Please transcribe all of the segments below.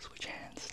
Switch hands.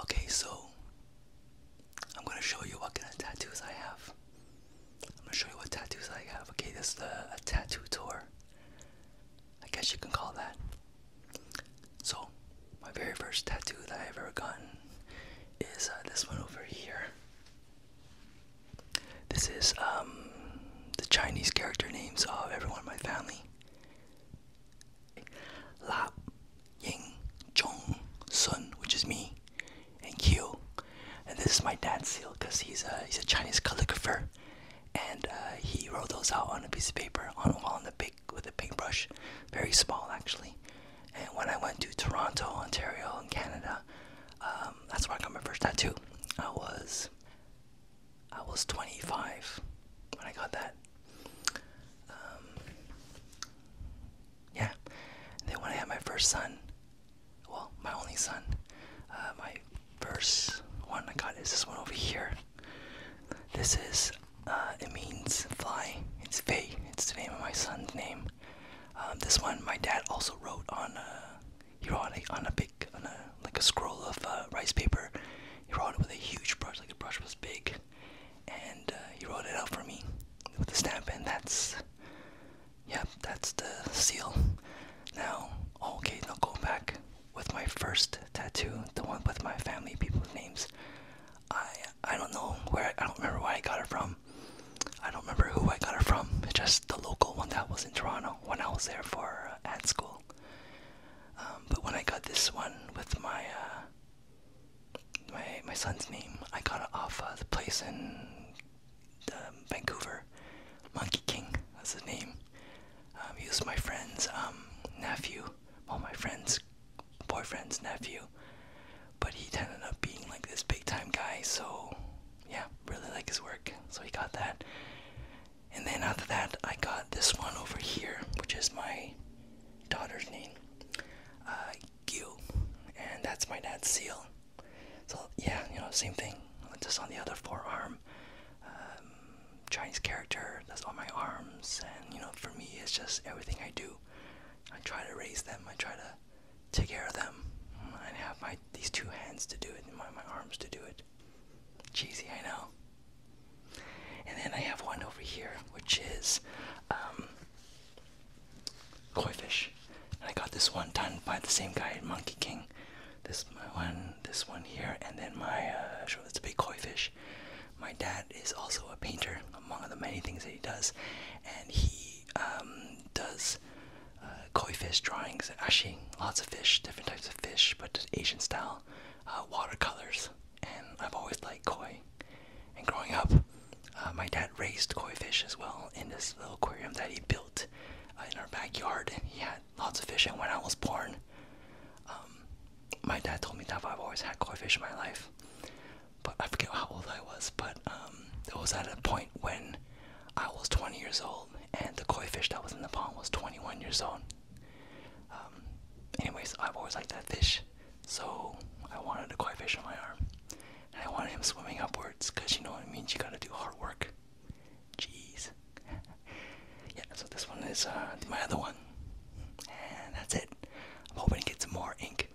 Okay, so I'm gonna show you what kind of tattoos I have. I'm gonna show you what tattoos I have. Okay, this is the, a tattoo tour. I guess you can call that. So, my very first tattoo that I've ever gotten is uh, this one over here. This is um, the Chinese character names of everyone in my family. Lap, Ying, Chong, Sun, which is me, and Q. And this is my dad's seal because he's a, he's a Chinese calligrapher. And uh, he wrote those out on a piece of paper on a wall in the big with a paintbrush, very small actually. And when I went to Toronto, Ontario, in Canada, um, that's where I got my first tattoo. I was I was 25 when I got that. Um, yeah. And then when I had my first son, well, my only son, uh, my first one I got is this one over here. This is, uh, it means fly. It's Faye. It's the name of my son's name. Um, this one my dad also wrote on a, uh, he on a, on a like a scroll of uh, rice paper. He wrote it with a huge brush, like the brush was big, and uh, he wrote it out for me with the stamp. And that's, yeah, that's the seal. Now, okay, now go back with my first tattoo, the one with my family people's names. I I don't know where I don't remember where I got it from. I don't remember who I got it from. It's just the local one that was in Toronto when I was there for uh, at school. Um, but when I got this one with my uh, my my son's name, I got it off uh, the place in um, Vancouver. Monkey King That's his name. Um, he was my friend's um, nephew. Well, my friend's boyfriend's nephew. But he ended up being like this big time guy, so yeah, really like his work. So he got that. And then after that, I got this one over here, which is my daughter's name, uh, and that's my dad's seal. So yeah, you know, same thing, just on the other forearm. Um, Chinese character that's on my arms, and you know, for me, it's just everything I do. I try to raise them. I try to take care of them. I have my these two hands to do it, and my my arms to do it. Cheesy, I know. And then I have one over here, which is um, koi fish. I got this one done by the same guy at Monkey King. This one, this one here, and then my, uh, sure, that's a big koi fish. My dad is also a painter, among the many things that he does, and he um, does uh, koi fish drawings, ashi, lots of fish, different types of fish, but Asian style uh, watercolors. And I've always liked koi. And growing up, uh, my dad raised koi fish as well in this little aquarium that he built uh, in our backyard. he had lots of fish. And when I was born, um, my dad told me that I've always had koi fish in my life. But I forget how old I was, but um, it was at a point when I was 20 years old, and the koi fish that was in the pond was 21 years old. Um, anyways, I've always liked that fish, so I wanted a koi fish on my arm. And I wanted him swimming upwards, because you know what it means, you gotta do hard work. Jeez. yeah, so this one is uh, my other one. And that's it. I'm hoping to get some more ink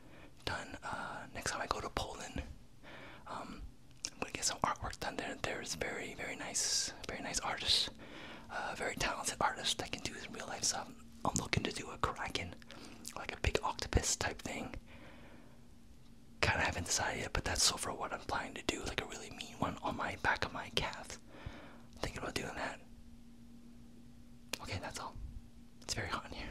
done uh, next time I go to Poland. Um, I'm gonna get some artwork done there. There's very, very nice, very nice artists, uh, very talented artists that can do this in real life stuff. I'm looking to do a kraken, like a big octopus type thing. Kind of haven't decided yet, but that's so for what I'm planning to do, like a really mean one on my back of my calf. I'm thinking about doing that. Okay, that's all. It's very hot in here.